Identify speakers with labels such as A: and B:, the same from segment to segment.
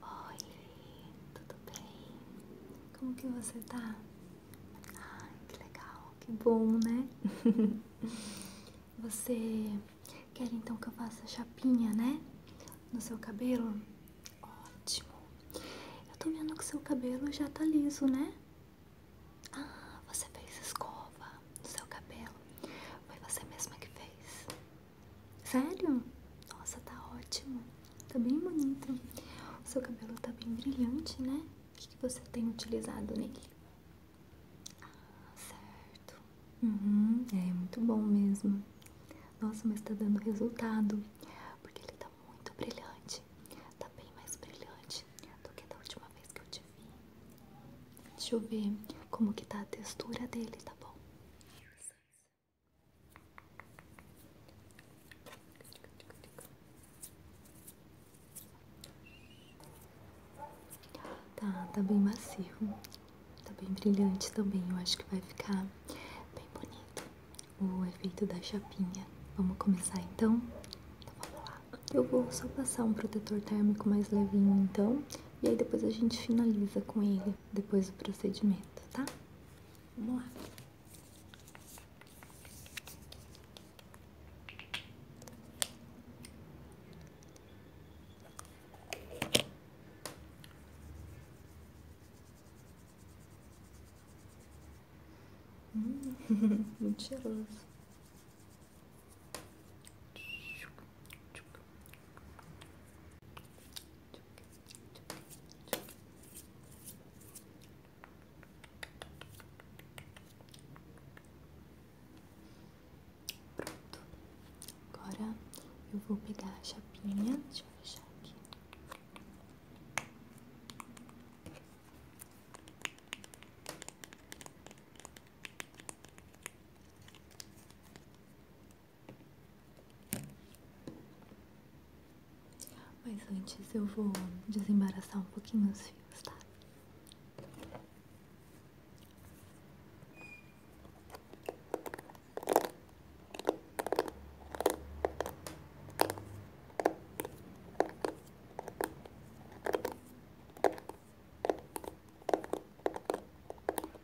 A: Oi, tudo bem? Como que você tá? Ah, que legal, que bom, né? Você quer então que eu faça chapinha, né? No seu cabelo? Ótimo!
B: Eu tô vendo que seu cabelo já tá liso, né? Ah, você fez escova no seu cabelo. Foi você mesma que fez.
A: Sério?
B: Nossa, tá ótimo. Tá bem bonito.
A: O seu cabelo tá bem brilhante, né? O que, você tem utilizado nele? Ah, certo. Uhum, é muito bom mesmo. Nossa, mas tá dando resultado. Porque ele tá muito brilhante. Tá bem mais brilhante do
B: que da última vez que eu te vi.
A: Deixa eu ver como que tá a textura dele, tá bom? Tá, tá bem macio, tá bem brilhante também. Eu acho que vai ficar bem bonito o efeito da chapinha. Vamos começar então? então eu vou só passar um protetor térmico mais levinho então, e aí depois a gente finaliza com ele depois do procedimento, tá? Vamos lá. Hum, muito cheiroso. Pronto, agora eu vou pegar a chapinha, deixa eu fechar aqui. Pronto, mas antes eu vou desembaraçar um pouquinho os fios, tá?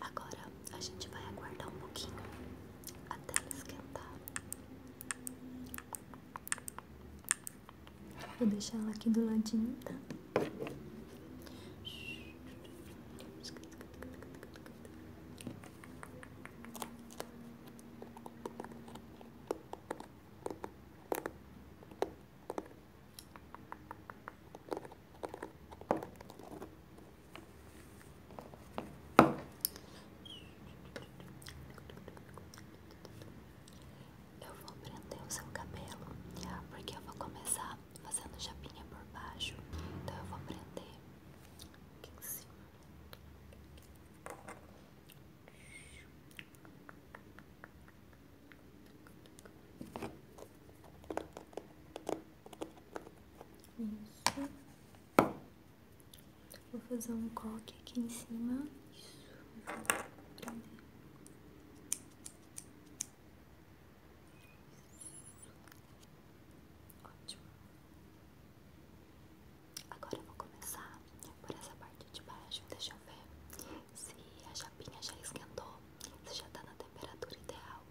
B: Agora a gente vai aguardar um pouquinho até ela esquentar.
A: Vou deixar ela aqui do ladinho, tá?
B: Eu vou prender o seu cabelo, porque eu vou começar fazendo chapinha por baixo. Então eu vou prender aqui em cima.
A: Isso. Vou fazer um coque aqui em cima. Isso.
B: Ótimo. Agora eu vou começar por essa parte de baixo. Deixa eu ver se a chapinha já esquentou, se já está na temperatura ideal.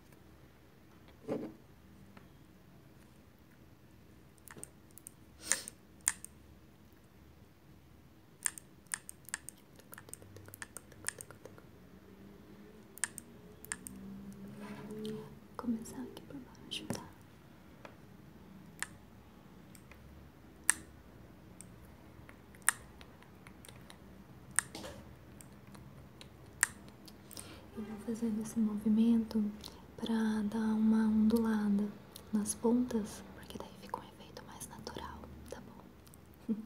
B: começando aqui por baixo, tá?
A: Eu vou fazendo esse movimento para dar uma ondulada nas pontas, porque daí fica um efeito mais natural, tá bom?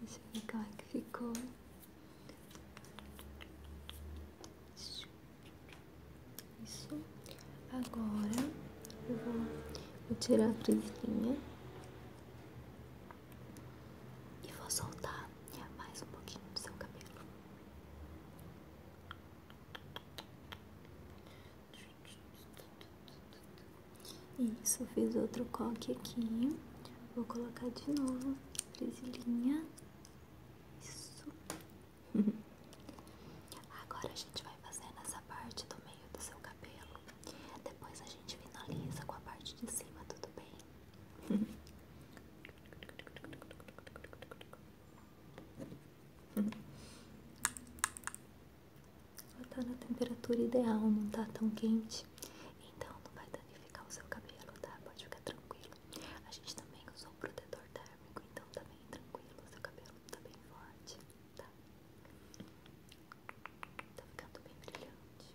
A: Deixa eu ver como é que ficou. Isso. Agora
B: eu vou,
A: tirar a presilhinha
B: e vou soltar mais um pouquinho do seu cabelo.
A: Isso, fiz outro coque aqui. Vou colocar de novo a
B: presilhinha. Isso. Agora a gente vai fazer nessa parte do do seu cabelo. Depois a gente finaliza com a parte de cima, tudo bem?
A: Tá na temperatura ideal, não tá tão quente, então não vai danificar o seu cabelo, tá? Pode ficar tranquilo. A gente também usou um protetor térmico, então tá bem tranquilo, o seu cabelo tá bem forte tá? Tá ficando bem brilhante.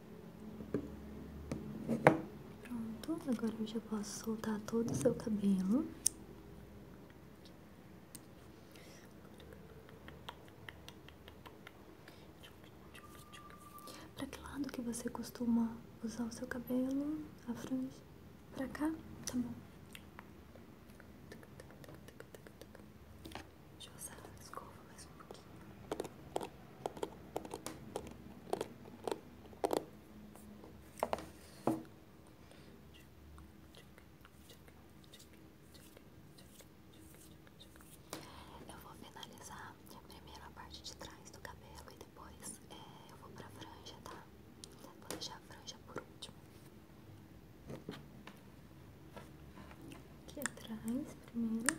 A: Pronto, agora eu já posso soltar todo o seu cabelo. Para que lado que você costuma usar o seu cabelo? A franja? Para cá? Tá bom. Deixa eu usar a escova mais um pouquinho. Eu
B: vou finalizar primeiro a parte de trás do cabelo e depois é, eu vou pra franja, tá? Vou deixar a franja por último.
A: Aqui atrás primeiro.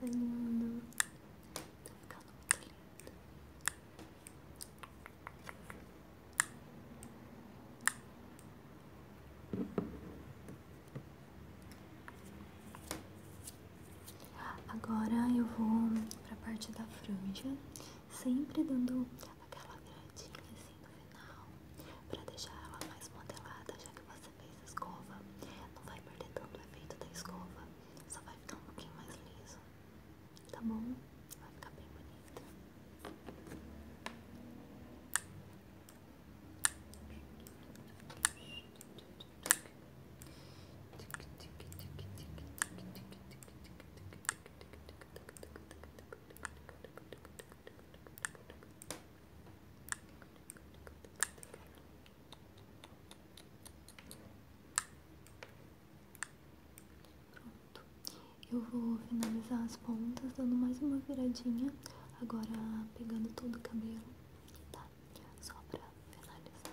A: Tá lindo. Tá ficando muito lindo. Agora eu vou pra parte da
B: franja, sempre dando aquela gradinha no final para deixar ela mais modelada, já que você fez a escova. Não vai perder tanto o efeito da escova, só vai ficar um pouquinho mais liso. Tá bom? Vai ficar bem bonito.
A: Pronto, eu vou finalizar as pontas dando mais uma viradinha, agora pegando todo o cabelo, tá? Só pra finalizar.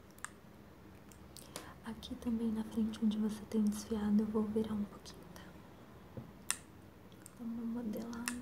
A: Aqui também na frente onde você tem desfiado, eu vou virar um pouquinho, tá? Dá uma modelada.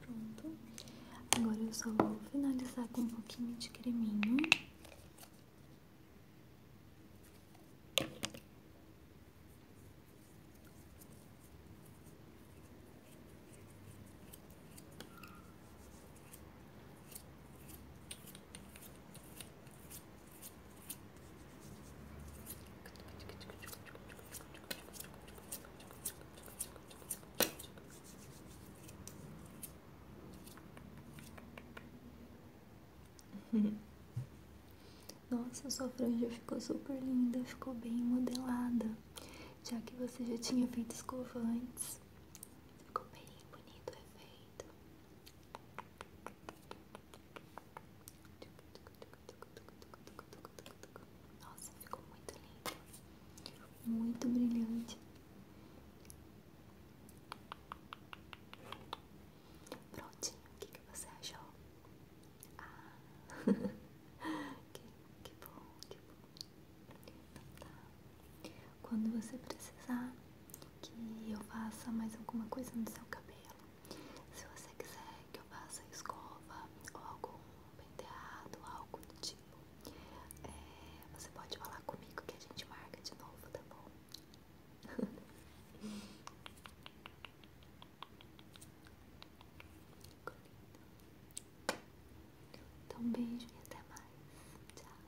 A: Pronto. Agora eu só vou finalizar com um pouquinho de creminho. Nossa, sua franja ficou super linda, ficou bem modelada, já que você já tinha feito escova antes. Ficou bem bonito, é feio. Nossa, ficou muito lindo, muito brilhante. Prontinho, o que, que você achou? Ah, que, que bom, que bom. Então tá. Quando você precisar que eu faça mais alguma coisa no seu cabelo, se você quiser que eu faça
B: escova ou algum penteado, algo do tipo, é, você pode falar comigo que a gente marca de novo, tá bom?
A: Então, um beijo e até mais. Tchau.